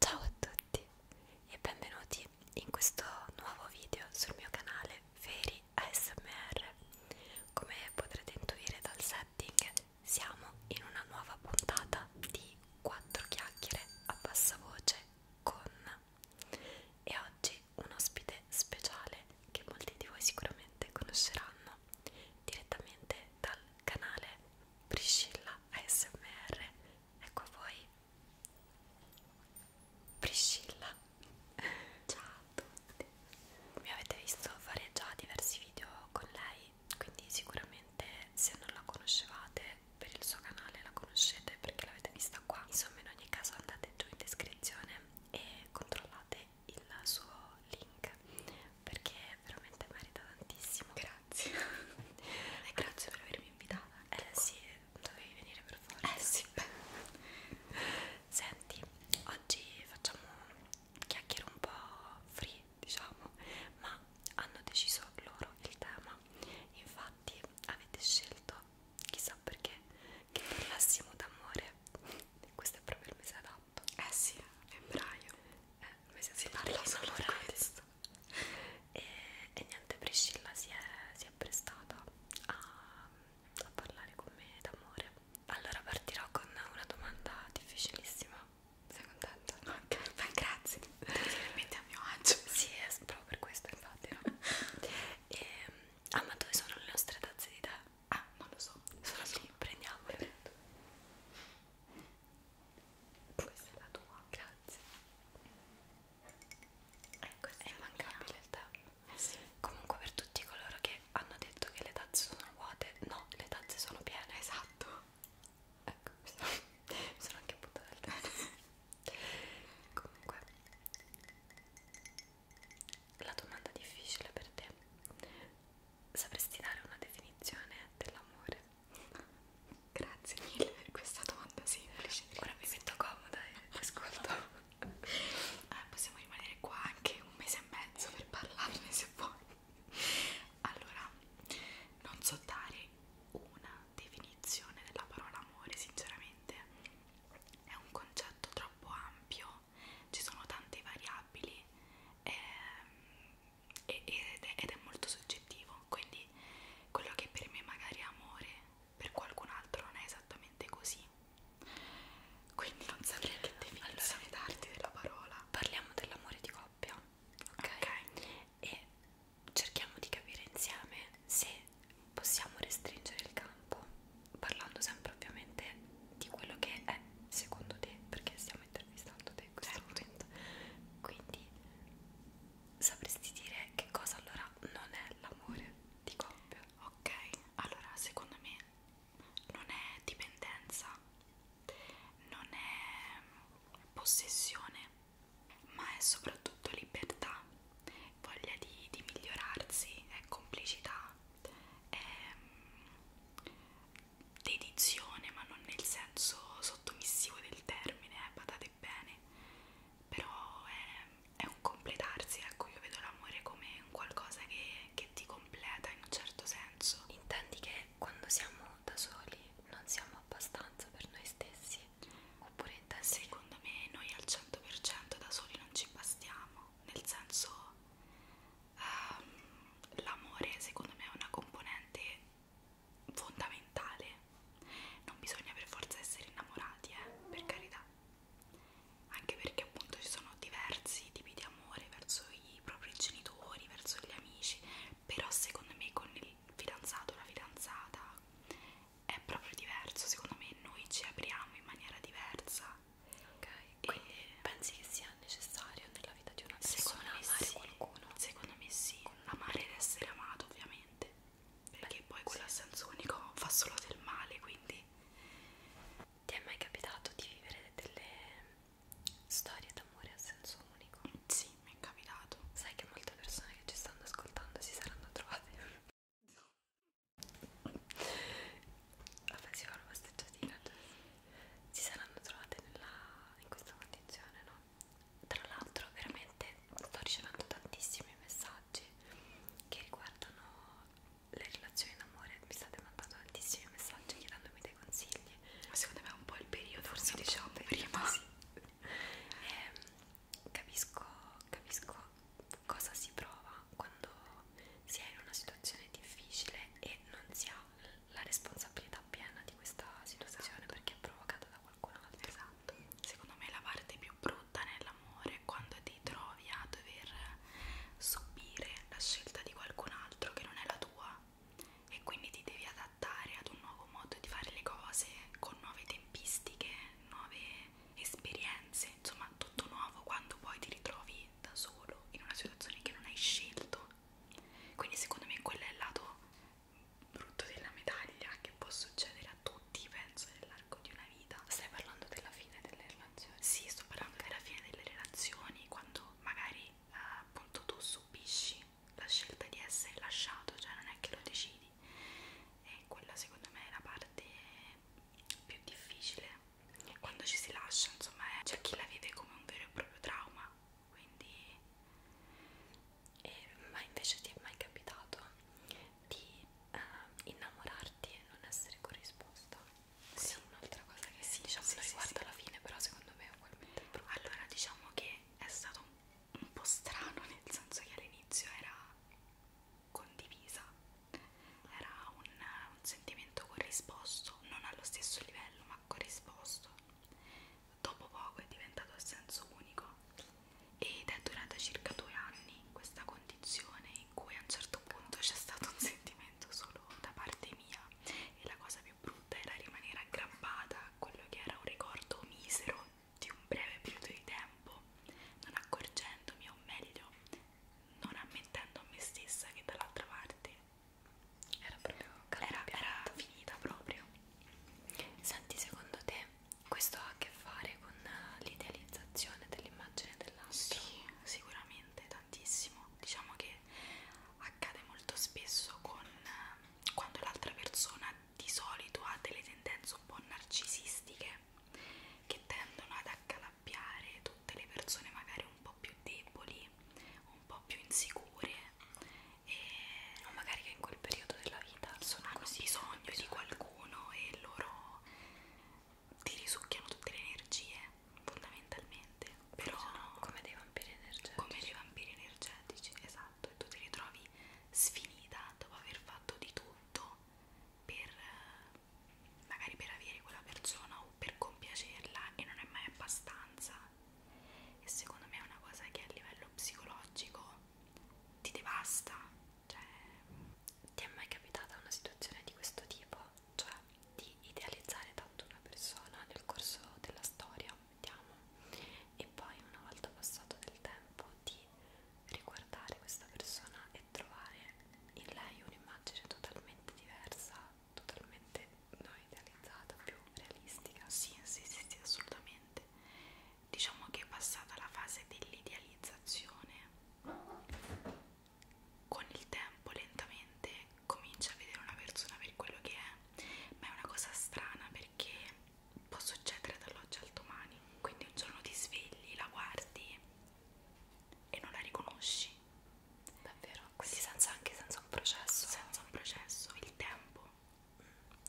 Ciao a tutti e benvenuti in questo nuovo video sul mio canale Feri ASMR. Come potrete intuire dal setting, siamo in una nuova puntata di quattro chiacchiere a bassa voce con e oggi un ospite speciale che molti di voi sicuramente conosceranno direttamente dal canale Priscilla ASMR ecco a voi Priscilla ciao a tutti mi avete visto fare già diversi video con lei quindi sicuramente se non la conoscevate per il suo canale la conoscete perché l'avete vista qua insomma in ogni caso andate giù in descrizione e controllate il suo link perché veramente merita tantissimo grazie e grazie per avermi invitata eh sì dovevi venire per forza eh sì senti oggi facciamo chiacchiere un po' free diciamo ma hanno deciso loro il tema infatti avete scelto chissà perché che parlassimo d'amore questo è proprio il mese adatto eh sì febbraio eh, il mese si parla solo di questo e, e niente Priscilla si è, si è prestata a, a parlare con me d'amore allora partirò con una domanda difficilissima sei contenta? Ok, beh, grazie. Finalmente a mio agio. Sì, è proprio per questo, infatti. No? e, ehm, ah, ma dove sono le nostre tazze di tè? Ah, non lo so. Sono lì, prendiamole. Questa è la tua, grazie. Ecco, è immancabile il tè. Eh sì. Comunque per tutti coloro che hanno detto che le tazze sono vuote, no, le tazze sono piene, esatto ecco mi sono, mi sono anche buttata al terzo comunque la domanda difficile per te sapresti dare una definizione dell'amore? grazie mille per questa domanda semplice ora mi metto comoda e ascolto eh, possiamo rimanere qua anche un mese e mezzo per parlarne se vuoi allora non so dare una definizione della parola amore sinceramente è un concetto troppo ampio ci sono tante variabili ehm, ed, è, ed è molto soggettivo quindi quello che per me magari è amore per qualcun altro non è esattamente così quindi non saprei che definizione allora, darti della parola parliamo dell'amore di cosa? coppia, ok? okay. E cerchiamo di capire insieme se possiamo restringere il campo, parlando sempre ovviamente di quello che è secondo te, perché stiamo intervistando te in questo certo. momento. Quindi sapresti dire che cosa allora non è l'amore di coppia? Ok, allora secondo me non è dipendenza non è possessione, ma è soprattutto libertà, voglia di, di migliorarsi, è complicità, è mm, dedizione, ma non nel senso sottomissivo del termine, eh, badate bene, però è, è un completarsi, ecco io vedo l'amore come un qualcosa che, che ti completa completa in un certo senso. Intendi che quando siamo da soli non siamo abbastanza per noi stessi? Oppure intendi? Secondo me noi al 100% da soli non ci bastiamo, nel senso um, l'amore secondo me è una componente fondamentale. Non bisogna per forza essere innamorati, eh, per carità. Anche perché appunto ci sono diversi tipi di amore verso i propri genitori, verso gli amici, però secondo me con il fidanzato o la fidanzata è proprio diverso, secondo me noi ci apriamo in maniera diversa. Ok, quindi e pensi che sia necessario nella vita di una persona amare sì, qualcuno? Secondo me sì, amare ed essere amato ovviamente, perché Beh, poi quello a sì. senso unico fa solo del male, quindi... Ti è mai capitato di vivere delle storie d'amore a senso unico. Sì, mi è capitato. Sai che molte persone che ci stanno ascoltando si saranno trovate. Vabbè, si fa una passeggiatina. Si saranno trovate nella, in questa condizione, no? Tra l'altro, veramente sto ricevendo tantissimi messaggi che riguardano le relazioni d'amore. Mi state mandando tantissimi messaggi chiedendomi dei consigli secondo me è un po' il periodo forse diciamo periodo, prima sì. eh, capisco, capisco cosa si prova quando si è in una situazione difficile e non si ha la responsabilità piena di questa situazione esatto. perché è provocata da qualcun altro esatto secondo me la parte più brutta nell'amore è quando ti trovi a dover subire la scelta di qualcun altro che non è la tua e quindi ti devi adattare ad un nuovo modo di fare le cose con nuove tempistiche, nuove esperienze, insomma tutto nuovo quando poi ti ritrovi da solo in una situazione che non hai scelto. Quindi secondo me quello è il lato brutto della medaglia che può succedere a tutti, penso, nell'arco di una vita. Stai parlando della fine delle relazioni? Sì, sto parlando della fine delle relazioni, quando magari eh, appunto tu subisci la scelta di essere lasciato, cioè non è che lo decidi e quella secondo me è la parte più difficile e quando ci si lascia insomma è, eh, c'è chi la vive come un vero e proprio trauma quindi e, eh, ma invece ti è mai capitato di eh, innamorarti e non essere corrisposto? sì, un'altra cosa che sì, diciamo sì, non riguarda sì, la fine, però secondo me è ugualmente brutta. Allora, diciamo che è stato un, un po' strano, nel senso che all'inizio era condivisa, era un, un sentimento corrisposto, non allo stesso livello, ma corrisposto. Dopo poco è diventato a senso unico ed è durata circa due anni questa condizione in cui a un certo punto c'è stato un sentimento solo da parte mia e la cosa più brutta era rimanere aggrappata a quello che era un ricordo misero di un breve periodo di tempo, non accorgendomi o meglio non ammettendo a me stessa che dall'altra parte era proprio era, era finita proprio. Senti, secondo te questo ha a che fare con l'idealizzazione dell'immagine dell'altro? Sì, sicuramente veramente tantissimo diciamo che accade molto spesso con eh, quando l'altra persona di solito ha delle tendenze un po' narcisistiche che tendono ad accalappiare tutte le persone magari un po' più deboli un po' più insicure e o magari che in quel periodo della vita sono hanno così, bisogno, bisogno di qualcuno e loro ti risucchiano tutte le energie fondamentalmente però sono cioè, come dei vampiri energetici come dei vampiri energetici esatto e tu ti ritrovi sfinita dopo aver fatto di tutto per eh, magari per avere quella persona o per compiacerla e non è mai abbastanza e secondo me è una cosa che a livello psicologico ti devasta cioè ti è mai capitata una situazione di questo tipo? cioè di idealizzare tanto una persona nel corso della storia, mettiamo, e poi una volta passato del tempo di riguardare questa persona e trovare in lei un'immagine totalmente diversa, totalmente non idealizzata, più realistica. Sì, sì, sì, sì, assolutamente. Diciamo che è passata la fase dell'idealizzazione con il tempo lentamente cominci a vedere una persona per quello che è, ma è una cosa strana perché può succedere dall'oggi al domani, quindi un giorno ti svegli, la guardi e non la riconosci. Davvero? Quindi sì. senza, anche senza un processo? Senza un processo, il tempo.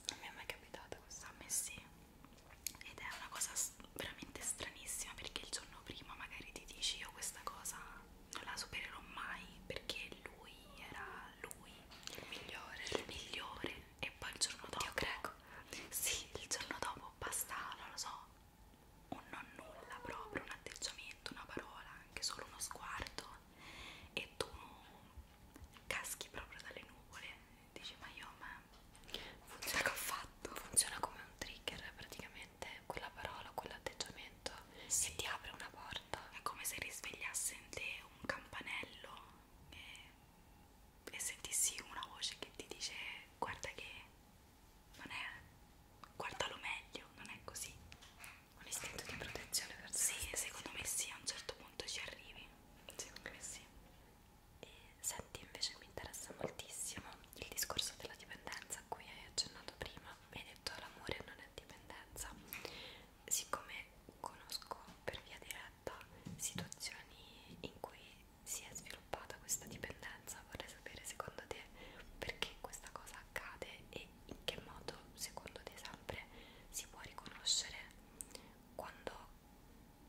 Non mm. mi è mai capitata questa. A me sì. Ed è una cosa veramente stranissima perché il giorno prima magari ti dici io questa cosa non la supererò mai perché lui era lui il migliore il migliore e poi il giorno dopo io credo sì il giorno dopo basta non lo so un non nulla proprio un atteggiamento una parola anche solo uno sguardo e tu caschi proprio dalle nuvole dici ma io ma funziona che ho fatto funziona come un trigger praticamente mente, quella parola, quell'atteggiamento sì. e ti apre una porta. È come se risvegliasse in te un campanello e, e sentissi una voce che ti dice guarda che non è, guardalo meglio, non è così. Un istinto di protezione verso Sì, secondo me sì, a un certo punto ci arrivi. Secondo me sì. E Senti, invece mi interessa moltissimo il discorso della dipendenza a cui hai accennato prima. Mi hai detto l'amore non è dipendenza. Siccome conosco per via diretta situazioni in cui si è sviluppata questa dipendenza, vorrei sapere secondo te perché questa cosa accade e in che modo secondo te sempre si può riconoscere quando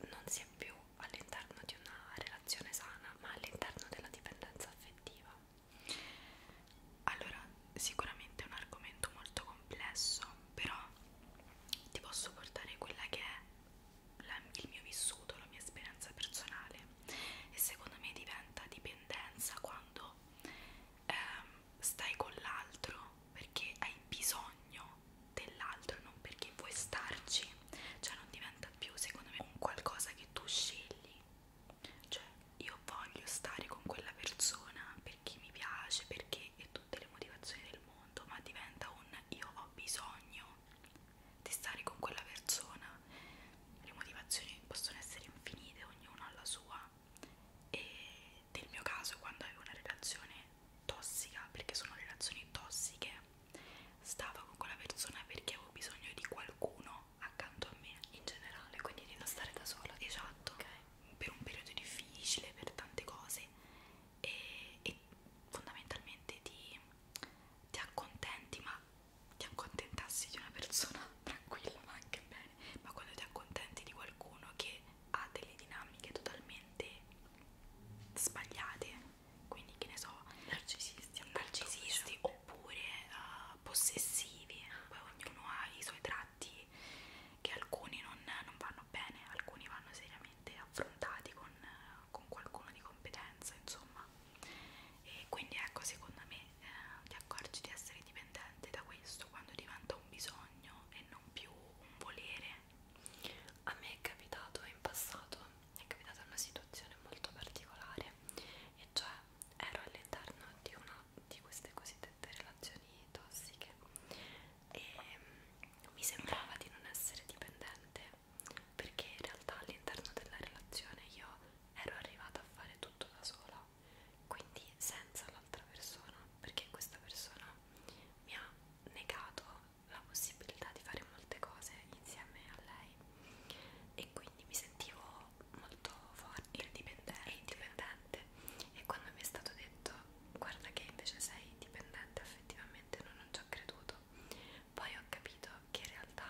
non si è più all'interno di una relazione sana, ma all'interno della dipendenza affettiva. Allora, sicuramente è un argomento molto complesso, però ti posso portare quella che è la, il mio vissuto, la mia esperienza personale e secondo me diventa dipendenza quando ehm, stai con l'altro perché hai bisogno dell'altro, non perché vuoi starci, cioè non diventa da più secondo me un qualcosa che tu scegli cioè io voglio stare con quella persona perché mi piace perché e tutte le motivazioni del mondo ma diventa un io ho bisogno di stare con quella persona le motivazioni possono essere infinite ognuno ha la sua e nel mio caso quando avevo una relazione tossica perché sono relazioni tossiche stavo con quella persona perché avevo bisogno di qualcuno accanto a me in generale, quindi di non stare da sola. Esatto, okay. per un periodo difficile, per tante cose e, e fondamentalmente ti, ti accontenti, ma ti accontentassi di una persona tranquilla, ma anche bene, ma quando ti accontenti di qualcuno che ha delle dinamiche totalmente sbagliate quindi che ne so narcisisti, narcisisti diciamo. oppure uh, possessivi poi ognuno ha i suoi tratti che alcuni non, non vanno bene alcuni vanno seriamente affrontati con, con qualcuno di competenza insomma e quindi ecco secondo me eh, ti accorgi di essere dipendente da questo quando diventa un bisogno e non più un volere a me è capitato in passato è capitata una situazione molto particolare e cioè ero all'interno di una di queste cosiddette relazioni tossiche e mm, mi sembrava di non essere dipendente perché in realtà all'interno della relazione io ero arrivata a fare tutto da sola quindi senza l'altra persona perché questa persona mi ha negato la possibilità di fare molte cose insieme a lei e quindi mi sentivo molto forte indipendente. e indipendente e quando mi è stato detto guarda che invece sei dipendente effettivamente non, non ci ho creduto poi ho capito che in realtà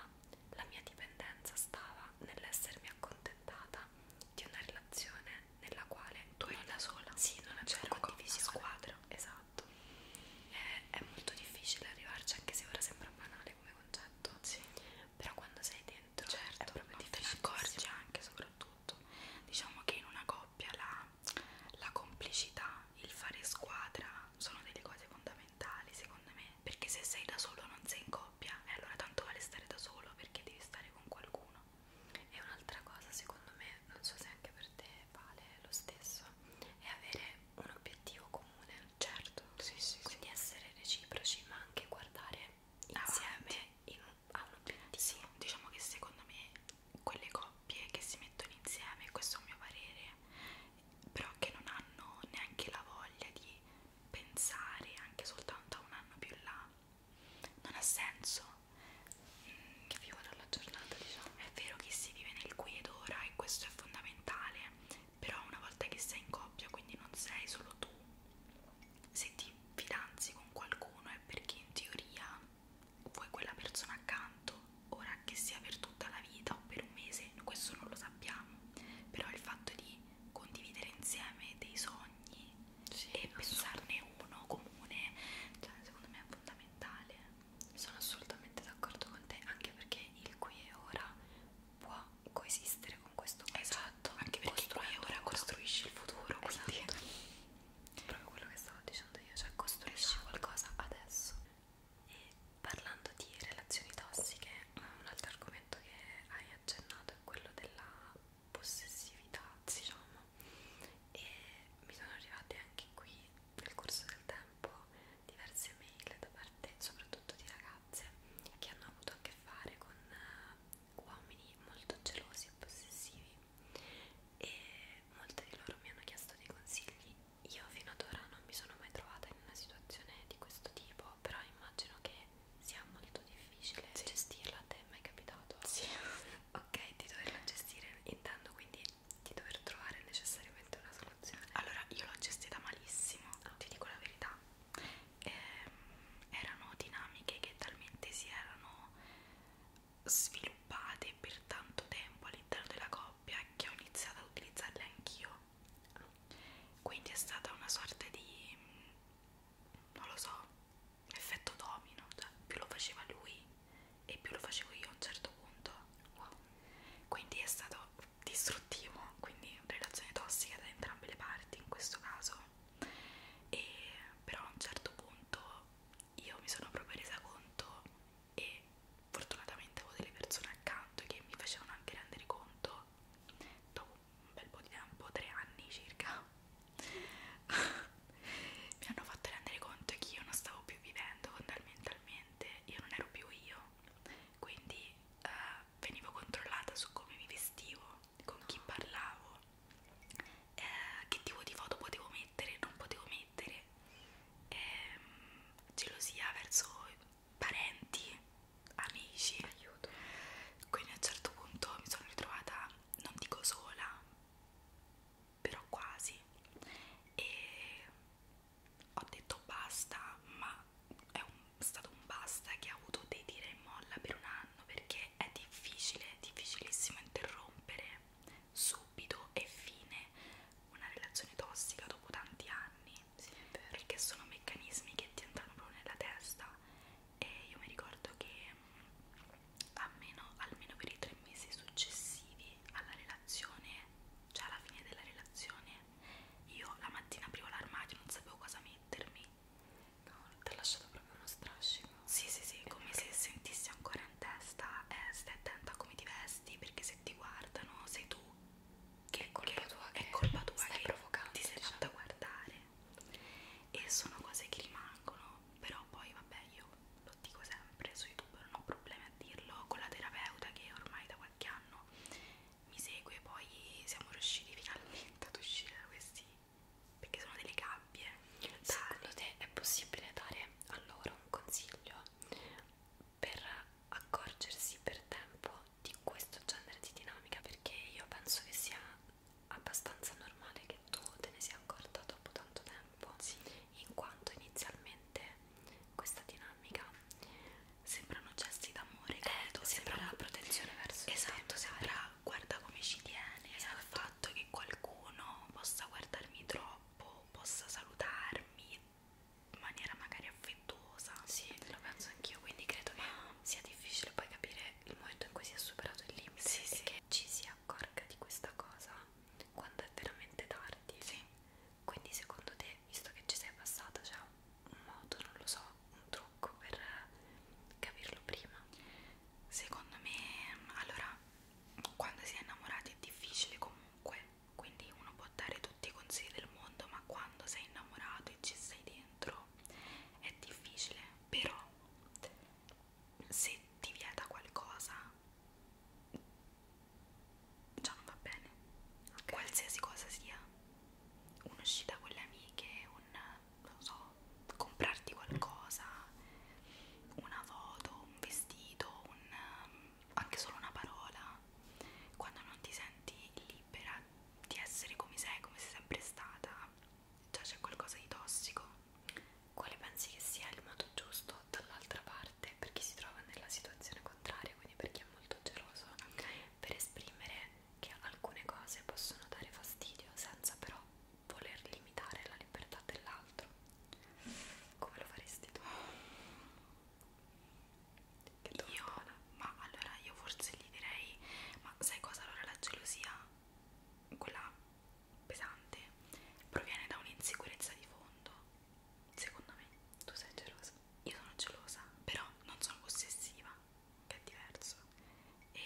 la mia dipendenza stava nell'essermi accontentata di una relazione nella quale tu eri da sola sì non c'era cioè, condivisione squadra esatto esatto è, eh, è molto difficile arrivarci anche se ora sembra banale come concetto sì. però quando sei dentro certo, è proprio difficile te ne accorgi anche soprattutto diciamo che in una coppia la, la complicità il fare squadra sono delle cose fondamentali secondo me perché se sei da solo non sei in coppia e eh, allora tanto vale stare da solo perché devi stare con qualcuno e un'altra cosa secondo me non so se anche per te vale lo stesso, è avere un obiettivo comune, certo, sì, sì, quindi sì. essere reciproci, ma anche guardare insieme in un, a un obiettivo. Sì, diciamo che secondo me quelle coppie che si mettono insieme, questo è un mio parere, però che non hanno neanche la voglia di pensare anche soltanto a un anno più là, non ha senso mh, che vivo dalla giornata diciamo è vero che si vive nel qui ed ora e questo è fondamentale però una volta che sei in coppia quindi non sei solo tu se ti fidanzi con qualcuno è perché in teoria vuoi quella persona accanto ora che sia per tutta la vita o per un mese questo non lo sappiamo però il fatto di condividere insieme dei sogni sì, e pensarne uno comune cioè secondo me è fondamentale sono assolutamente d'accordo con te, anche perché il qui e ora può coesistere con questo passato. Esatto, anche perché il qui e ora costruisci il futuro, quindi esatto. è proprio quello che stavo dicendo io, cioè costruisci esatto. qualcosa adesso. E parlando di relazioni tossiche, un altro argomento che hai accennato è quello della possessività, diciamo, e mi sono arrivate anche qui nel corso del tempo diverse mail da parte soprattutto di ragazze che hanno avuto a che fare con eh, uomini molto gelosi e possessivi e molte di loro mi hanno chiesto dei consigli io fino ad ora non mi sono mai trovata in una situazione di questo tipo però immagino che sia molto difficile sì. gestirla a te è mai capitato? sì ok di doverla gestire intendo quindi di dover trovare necessariamente una soluzione. Allora, io l'ho gestita malissimo, ah. ti dico la verità. Eh, erano dinamiche che talmente si erano sviluppate per tanto tempo all'interno della coppia che ho iniziato ad utilizzarle anch'io. Quindi è stata una sorta di non lo so, effetto domino, cioè più lo faceva lui e più lo facevo io a un certo punto. Wow. Quindi è stato distruttivo, quindi relazione tossica da entrambe le parti in questo caso. E però a un certo punto io mi sono proprio resa conto e fortunatamente avevo delle persone accanto che mi facevano anche rendere conto dopo un bel po' di tempo, tre anni circa mi hanno fatto rendere conto che io non stavo più vivendo fondamentalmente, io non ero più io, quindi eh, venivo controllata su come mi vestivo, con chi parlavo, eh, che tipo di foto potevo mettere, non potevo mettere, eh, gelosia verso parenti, amici, aiuto. Quindi a un certo punto mi sono ritrovata, non dico sola, però quasi e ho detto basta ma è un, stato un basta che ha avuto dei tira e molla per un anno perché è difficile, difficilissimo interrompere subito e fine una relazione tossica dopo tanti anni sì, perché sono meccanismi che ti entrano proprio nella testa e io mi ricordo che almeno, almeno per i tre mesi successivi alla relazione, cioè alla fine della relazione, io la mattina aprivo l'armadio, non sapevo cosa mettermi. No, ti ha lasciato proprio uno strascico. Sì, sì, sì, come se sentissi ancora in testa, eh, stai attenta a come ti vesti, perché se ti guardano sei tu che è colpa che, tua, che è colpa tua stai che ti sei diciamo. fatta diciamo. guardare. E sono cose che rimangono però poi vabbè io lo dico sempre su YouTube, non ho problemi a dirlo, con la terapeuta che ormai da qualche anno mi segue, poi siamo riusciti finalmente ad uscire da questi, perché sono delle gabbie. Tali. Secondo te è possibile dare a loro un consiglio per accorgersi per tempo di questo genere di dinamica? Perché io penso che sia abbastanza normale che tu te ne sia accorta dopo tanto tempo sì. in quanto inizialmente questa dinamica sembrano gesti d'amore credo, eh, sembra una protezione verso esatto, te. sembra guarda come ci tiene esatto. al fatto che qualcuno possa guardarmi troppo possa salutarmi in maniera magari affettuosa sì, lo penso anch'io quindi credo Ma... che sia difficile poi capire il momento in cui si è superato il limite sì, e sì. che ci sia si accorga di questa cosa quando è veramente tardi. Sì. Quindi secondo te, visto che ci sei passata, c'è un modo, non lo so, un trucco per capirlo prima? Secondo me, allora, quando si è innamorati è difficile comunque, quindi uno può dare tutti i consigli del mondo, ma quando sei innamorato e ci sei dentro è difficile, però se ti vieta qualcosa già non va bene okay. qualsiasi cosa sia un'uscita con le amiche un non so comprarti qualcosa una foto un vestito un, anche solo una parola quando non ti senti libera di essere come sei come sei sempre stata già c'è qualcosa di tossico, quale pensi che sia il modo giusto dall'altra parte per chi si trova nella situazione contraria, quindi per chi è molto geloso, per esprimere che alcune cose possono dare fastidio senza però voler limitare la libertà dell'altro. Come lo faresti tu? Io, ma allora io forse gli direi, ma sai cosa allora la gelosia? quella pesante proviene da un'insicurezza di fondo secondo me tu sei gelosa io sono gelosa però non sono possessiva che è diverso e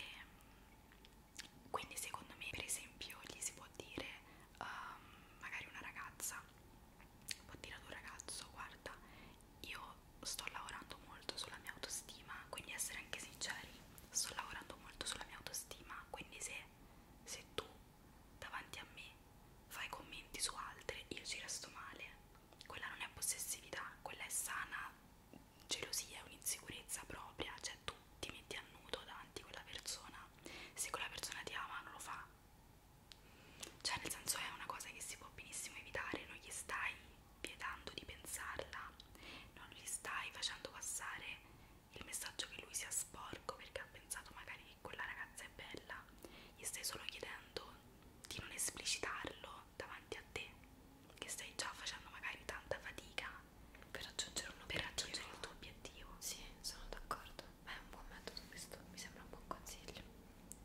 quindi secondo me per esempio gli si può dire um, magari una ragazza può dire ad un ragazzo guarda io sto lavorando molto sulla mia autostima quindi essere anche sinceri sto lavorando molto sulla mia autostima, quindi se, se tu davanti a me fai commenti su altre, io ci resto male. Quella non è possessività, quella è sana gelosia, è un'insicurezza propria, cioè tu ti metti a nudo davanti a quella persona, se quella persona ti ama non lo fa. Cioè nel senso è una cosa che si può benissimo evitare, non gli stai vietando di pensarla, non gli stai facendo passare il messaggio che lui sia sporco perché ha pensato magari che quella ragazza è bella, gli stai solo chiedendo di non esplicitarlo davanti a te, che stai già facendo magari tanta fatica per raggiungere, un per raggiungere il tuo obiettivo. Sì, sono d'accordo, ma è un buon metodo questo, mi sembra un buon consiglio.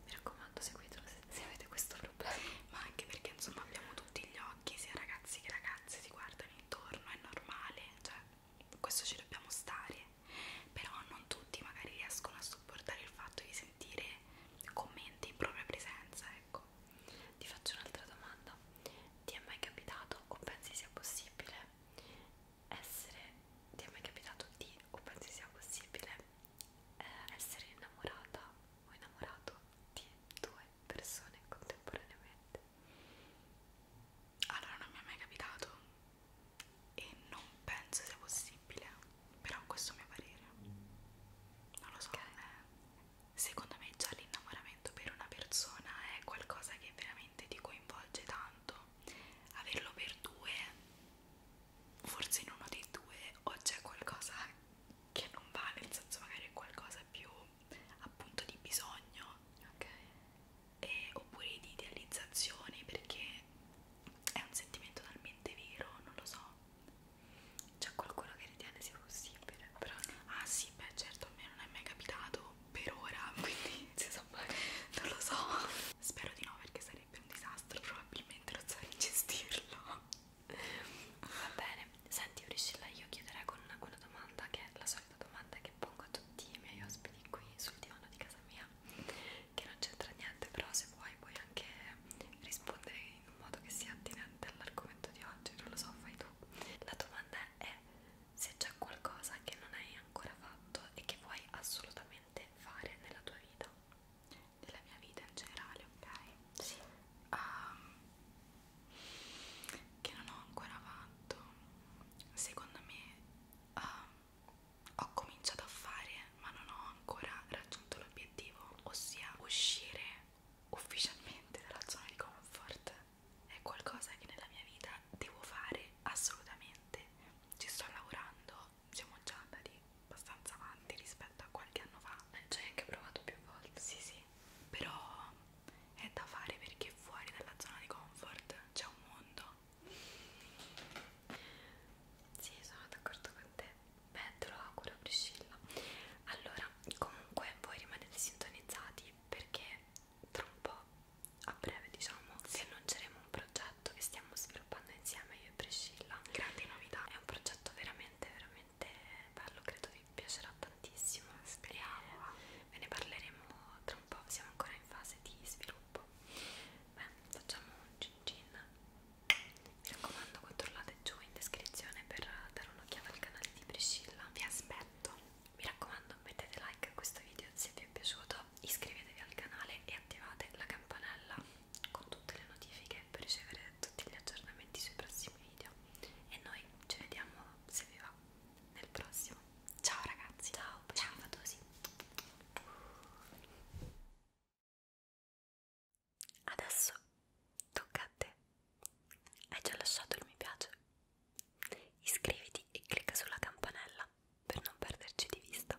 Mi raccomando, seguitelo se, se avete questo problema problemi, ma anche perché insomma abbiamo tutti gli occhi, sia ragazzi che ragazze si guardano intorno, è normale, cioè questo ci dobbiamo stare, però non tutti magari riescono a sopportare il fatto di sentire commenti in propria presenza, ecco. Ti faccio un'altra domanda, ti è mai capitato o pensi sia possibile essere, ti è mai capitato di o pensi sia possibile eh, essere innamorata o innamorato di due persone contemporaneamente. Allora non mi è mai capitato e non penso sia possibile, però questo è il mio parere. Non lo so. Okay. Secondo me già l'innamoramento per una persona è qualcosa che veramente ti coinvolge tanto. Averlo per due, forse in uno dei due o c'è qualcosa che non va, nel senso magari è qualcosa più appunto di bisogno ok e, oppure di idealizzazione perché è un sentimento talmente vero, non lo so c'è qualcuno che ritiene sia possibile però ah sì beh certo a me non è mai capitato per ora quindi non lo so spero di no perché sarebbe un disastro probabilmente non saprei gestirlo Va bene, senti Priscilla, io chiuderei con una, una domanda che è la solita domanda che pongo a tutti i miei ospiti qui sul divano di casa mia, che non c'entra niente, però se vuoi puoi anche rispondere in un modo che sia attinente all'argomento di oggi, non lo so, fai tu. La domanda è se c'è qualcosa che non hai ancora fatto e che vuoi assolutamente fare nella tua vita della mia vita in generale, ok? Sì. Um, che non ho ancora fatto. Secondo me um, ho cominciato a fare, ma non ho ancora raggiunto l'obiettivo, ossia uscire ufficialmente dalla zona di comfort. È qualcosa che nella mia vita devo fare assolutamente. Ci sto lavorando, siamo già andati abbastanza avanti rispetto a qualche anno fa. Eh, ci hai anche provato più volte? Sì, sì, però è da fare perché fuori dalla zona di comfort c'è un mondo. Sì, sono d'accordo con te. Beh, te lo auguro, Priscilla. Allora, comunque voi rimanete sintonizzati perché tra un po', a breve diciamo, sì. vi annunceremo un progetto che stiamo sviluppando insieme io e Priscilla. Grandi novità. È un progetto veramente, veramente veramente bello, credo vi piacerà tantissimo. Speriamo. Ve ne parleremo tra un po', siamo ancora in fase di sviluppo. Beh, facciamo un cin cin. Mi raccomando, controllate giù in descrizione per dare un'occhiata al canale di Priscilla. Vi aspetto. Mi raccomando, mettete like a questo video se vi è piaciuto, iscrivetevi al canale e attivate la campanella con tutte le notifiche per ricevere tutti gli aggiornamenti sui prossimi video e noi ci vediamo se vi va nel prossimo ciao ragazzi ciao ciao fatosi adesso tocca a te hai già lasciato il mi piace iscriviti e clicca sulla campanella per non perderci di vista